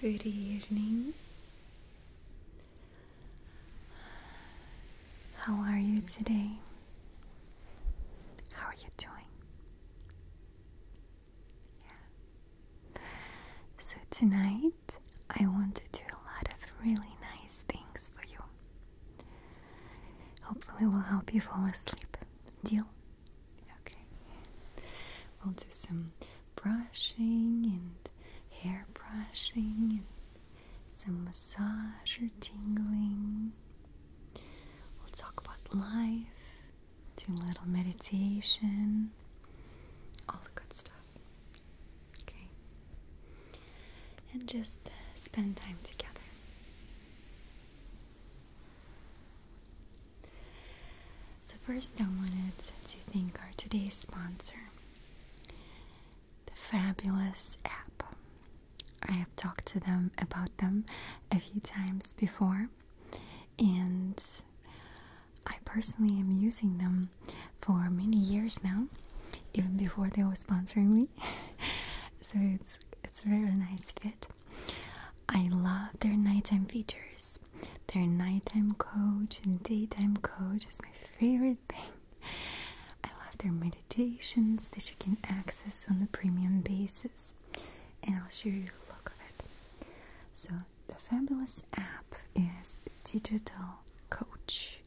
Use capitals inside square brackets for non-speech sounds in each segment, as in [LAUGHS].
Good evening. How are you today? How are you doing? So, tonight I want to do a lot of really nice things for you. Hopefully, will help you fall asleep. Deal? Okay, we'll do some brushing and hair brushing and some massage or tingling. We'll talk about life, do a little meditation, all the good stuff. Okay, and just uh, spend time together. So first I wanted to thank our today's sponsor, the fabulous app. I have talked to them about them a few times before and I personally am using them for many years now, even before they were sponsoring me. [LAUGHS] so it's it's a really nice fit I love their nighttime features. Their nighttime coach and daytime coach is my favorite thing. I love their meditations that you can access on the premium basis, and I'll show you a look of it. So, the fabulous app is Digital Coach,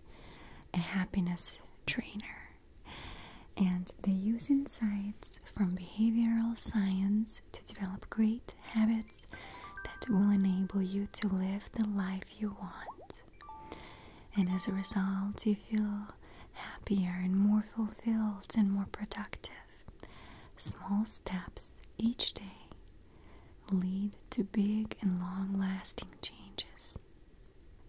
a happiness trainer, and they use insights from behavioral science to develop great habits that will enable you to live the life you want. And as a result, you feel happier and more fulfilled and more productive. Small steps each day lead to big and long lasting changes.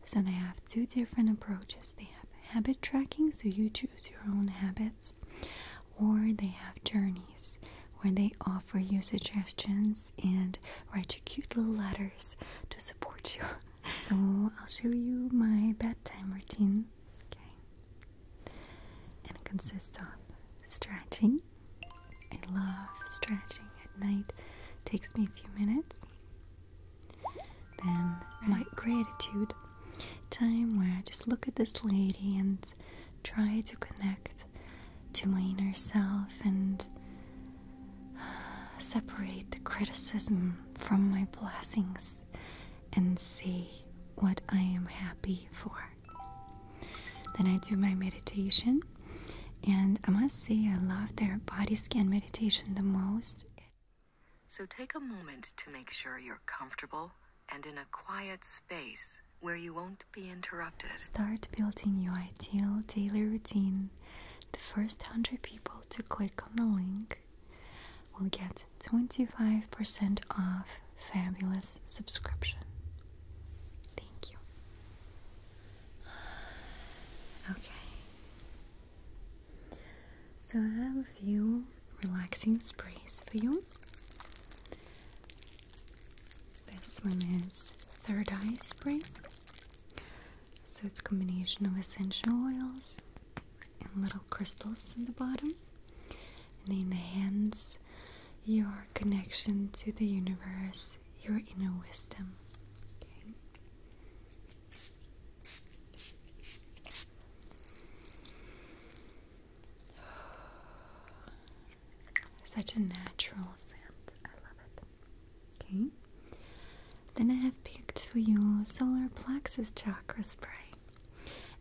So, they have two different approaches. They have habit tracking, so you choose your own habits or they have journeys where they offer you suggestions and write you cute little letters to support you. [LAUGHS] so I'll show you my bedtime routine. Okay. And it consists of stretching. I love stretching at night. takes me a few minutes. Then my gratitude time where I just look at this lady and try to connect to my inner self and uh, separate the criticism from my blessings and see what I am happy for. Then I do my meditation, and I must say, I love their body scan meditation the most. So take a moment to make sure you're comfortable and in a quiet space where you won't be interrupted. Start building your ideal daily routine. The first 100 people to click on the link will get 25% off fabulous subscription. Thank you. [SIGHS] Okay. So I have a few relaxing sprays for you. This one is Third Eye Spray. So it's a combination of essential oils and little crystals in the bottom. And they enhance your connection to the universe, your inner wisdom. Okay. [SIGHS] Such a natural scent. I love it. Okay. Then I have picked for you solar plexus chakra spray.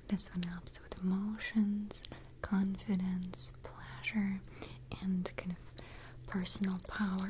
This one helps with emotions, confidence, pleasure, and kind of personal power.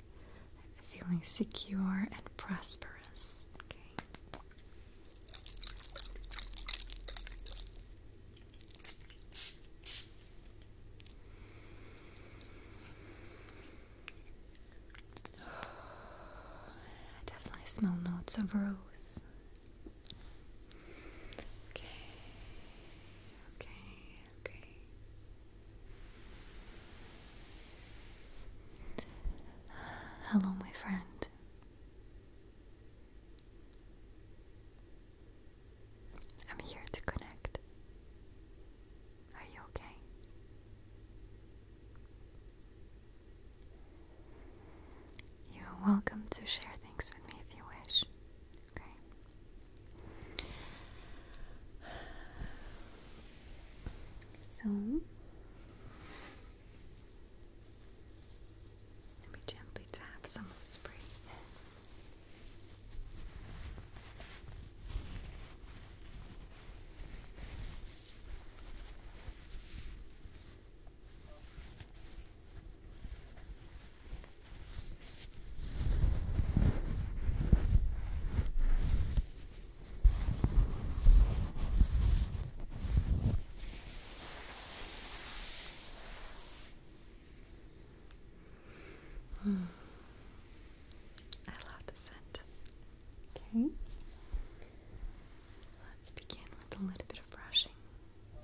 feeling secure and prosperous. Okay. [SIGHS] I definitely smell notes of rose. Okay, okay, okay. Hello, my friend. I'm here to connect. Are you okay? You're welcome to share things with me if you wish. Okay. So let me gently tap some of the spray. [SIGHS] I love the scent. Okay. Let's begin with a little bit of brushing. Okay.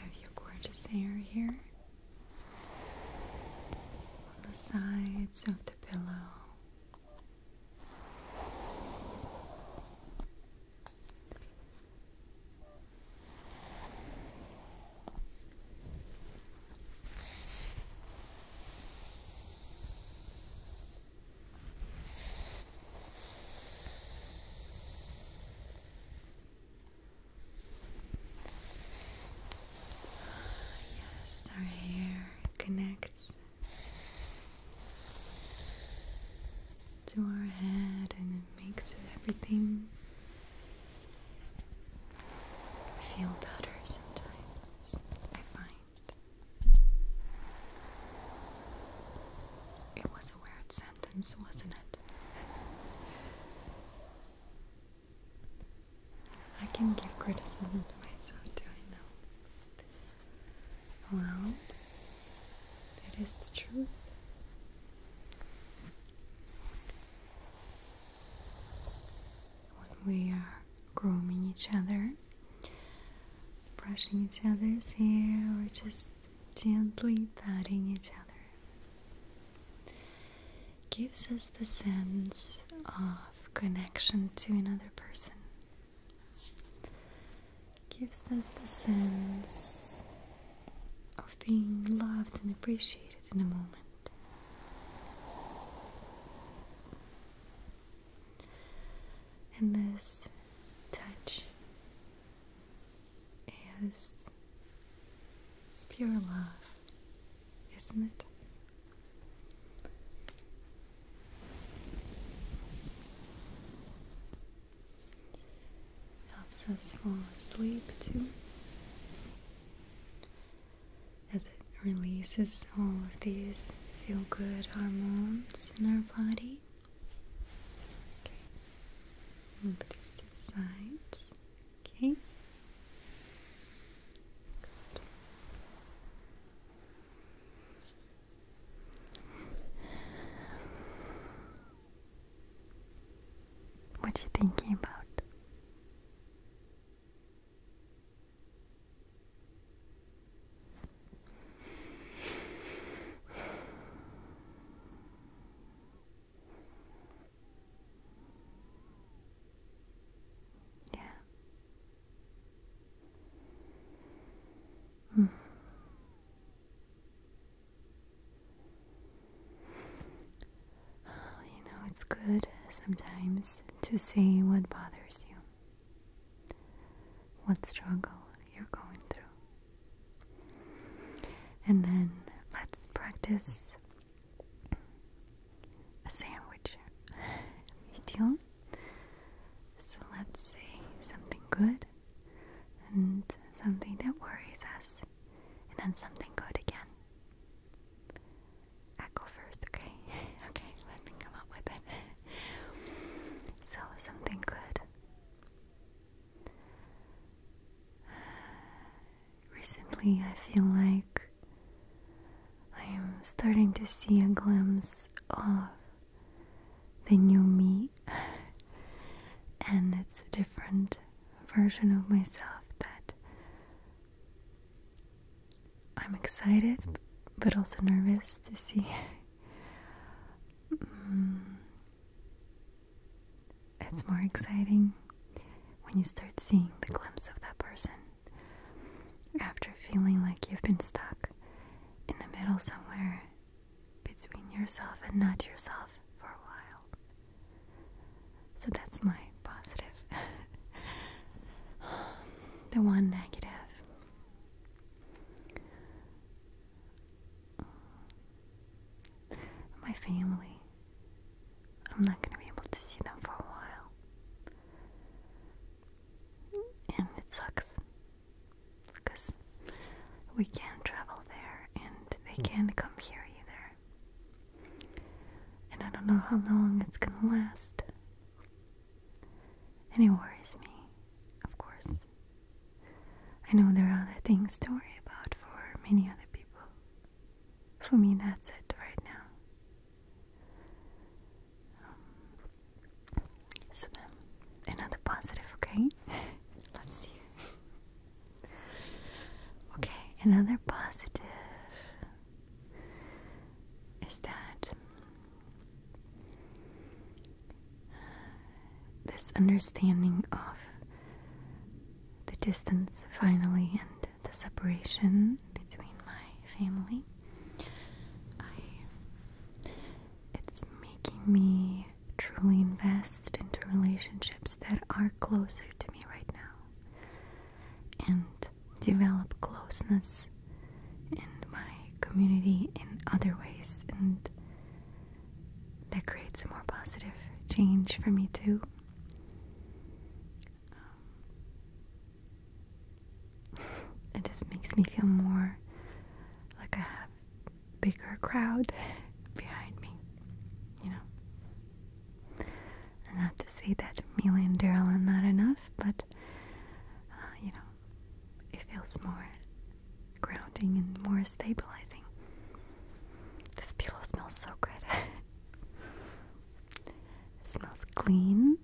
Have your gorgeous hair here on the sides of the pillow our hair connects to our head and it makes everything feel better sometimes, I find. It was a weird sound wasn't it? I can give criticism myself, do I know? Well, that is the truth. When we are grooming each other, brushing each other's hair, or just gently patting each other gives us the sense of connection to another person, gives us the sense of being loved and appreciated in a moment. And this touch is pure love, isn't it? Helps us fall asleep too, as it releases all of these feel good hormones in our body. Okay. Move sides. Okay. What you thinking about? Yeah. Mm. you know, it's good sometimes to say what bothers you, what struggle you're going through. And then let's practice a sandwich video. So let's say something good and something that worries us, and then something good again. I first, okay? [LAUGHS] okay, let me come up with it. [LAUGHS] so, something good. [SIGHS] Recently, I feel like I am starting to see a glimpse of the new me, [LAUGHS] and it's a different version of myself that I'm excited but also nervous to see. [LAUGHS] Mm. It's more exciting when you start seeing the glimpse of that person after feeling like you've been stuck in the middle somewhere between yourself and not yourself for a while. So that's my positive. [LAUGHS] the one negative. My family. I'm not going to be able to see them for a while. And it sucks. Because we can't travel there and they can't come here either. And I don't know how long it's going to last. And it worries me, of course. I know there are other things to worry about for many other people. For me, that's it right now. Um, so, then, um, another positive, okay? [LAUGHS] Let's see. okay, another positive is that this understanding of the distance finally and the separation between my family it's making me truly invest into relationships that are closer to me right now and develop closeness in my community in other ways and that creates a more positive change for me too. Um, it just makes me feel more like I have bigger crowd [LAUGHS] behind me, you know. And not to say that Mila and Daryl are not enough, but uh, you know, it feels more grounding and more stabilizing. This pillow smells so good. [LAUGHS] it smells clean.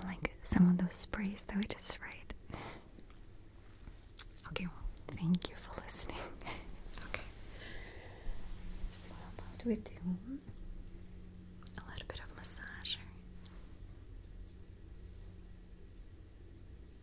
Unlike some of those sprays that we just sprayed. Okay, well, thank you for listening. [LAUGHS] okay. So how we do a little bit of massage?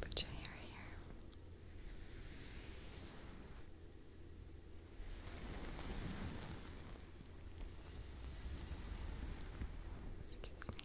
Put your hair here. Excuse me.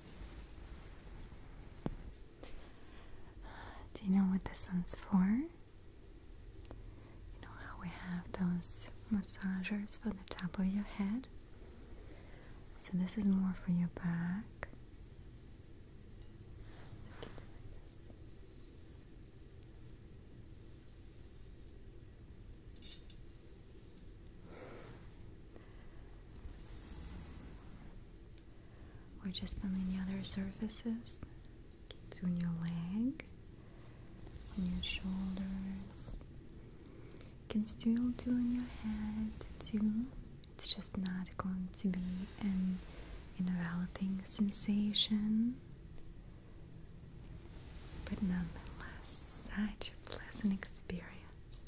Do you know what this one's for? You know how we have those massagers for the top of your head? So this is more for your back. We're just on the other surfaces. On your leg, on your shoulders. You can still do on your head too. It's just not going to be an enveloping sensation. But nonetheless, such a pleasant experience.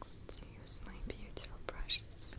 let use my beautiful brushes.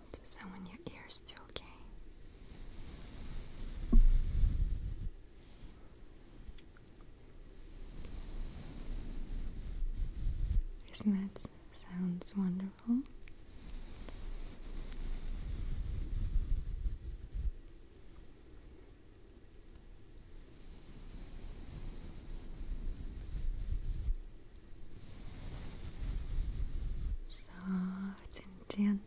i do some your ears too, okay? Isn't that sounds wonderful? Soft and gentle.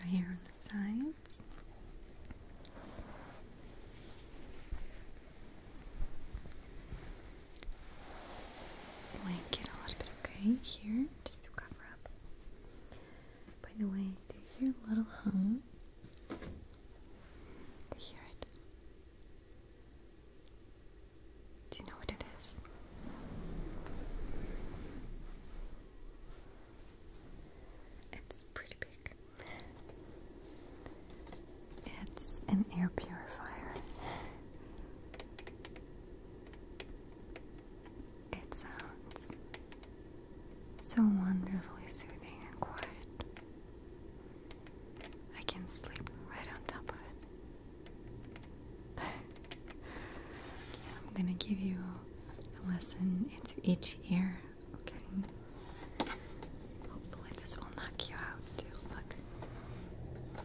Right here on the sides. Blanket a little bit, okay, here just to cover up. By the way, do you hear a little hum? you hear it? Do you know what it is? It's pretty big. It's an air purifier. It sounds so wonderfully soothing and quiet. I can sleep right on top of it. [LAUGHS] yeah, I'm gonna give you a lesson into each ear, okay? Hopefully, this will knock you out Look.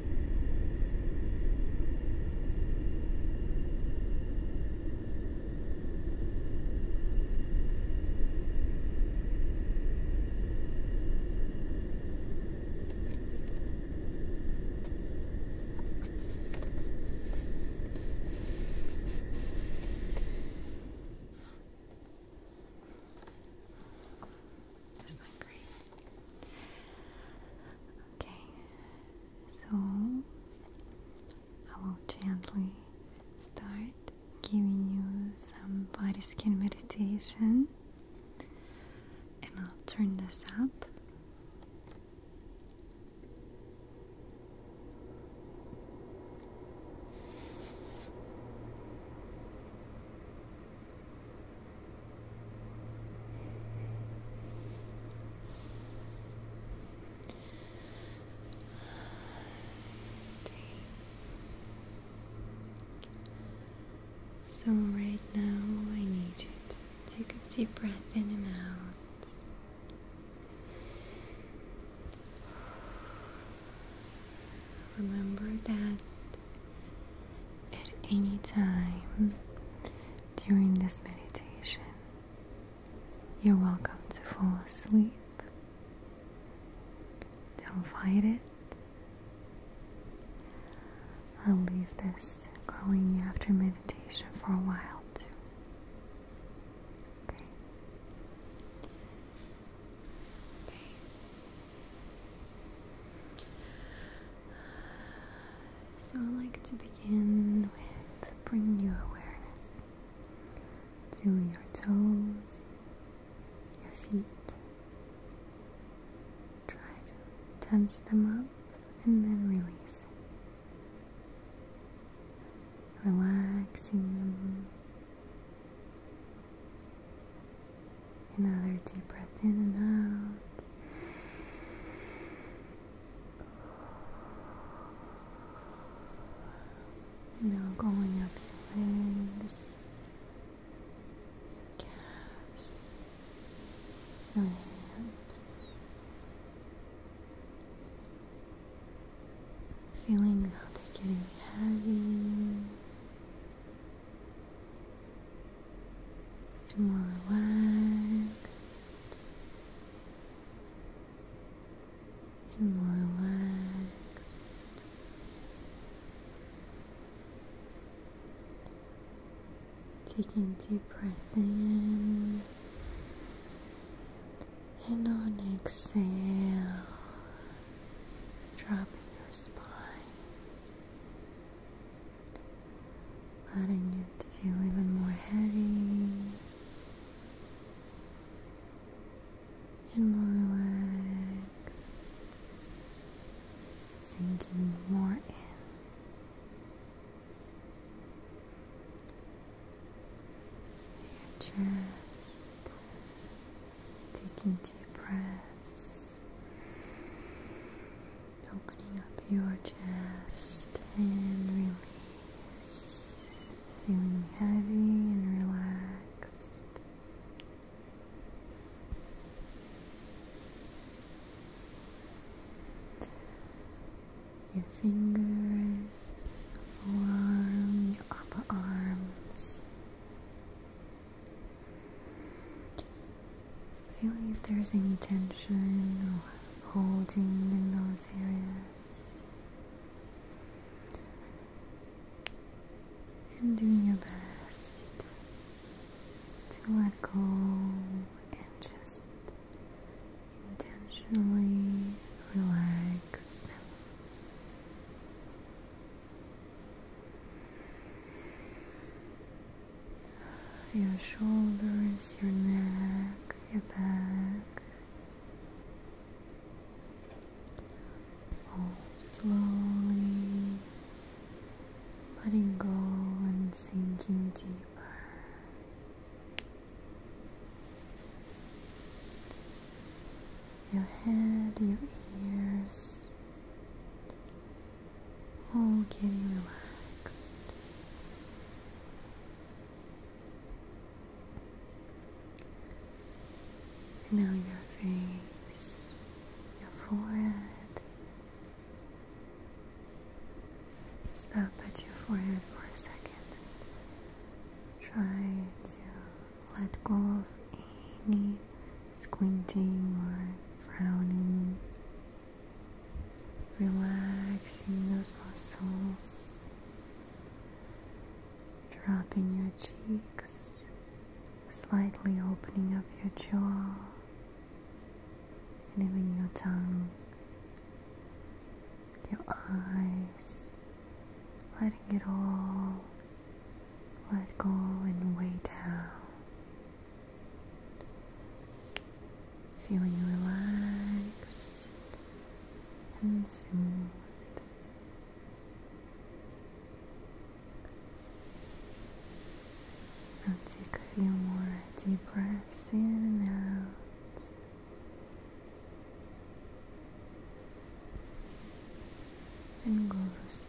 Isn't that great? Okay, so I will gently start giving you some body skin meditation, and I'll turn this up. So, right now, I need you to take a deep breath in and out. Remember that at any time during this meditation, you're welcome to fall asleep. Don't fight it. I'll leave this going after meditation for a while too. Okay. Okay. So, I like to begin with bringing your awareness to your toes, your feet. Try to tense them up and then release. Relaxing them Another deep breath in and out. Now going up your legs, your calves, hips. Feeling how they're getting heavy to more relaxed and more relaxed taking deep breath in and on exhale dropping your spine Letting it feel even more heavy and more relaxed, sinking more in. Your chest, Taking deep breaths, opening up your chest and release, feeling heavy and relaxed. Your fingers, forearm, your upper arms, Feeling if there's any tension or holding in those areas. And doing your best to let go and just intentionally relax your shoulders, your neck, your back. All slowly letting go and sinking deeper your head, your ears, all getting relaxed. Now your face, your forehead. Stop at your forehead for a second. Try to let go of any squinting or frowning. Relaxing those muscles, dropping your cheeks, slightly opening up your jaw, and even your tongue, your eyes, letting it all let go and weigh down. Feeling relaxed and soothed. take a few more deep breaths in and out. and go to sleep.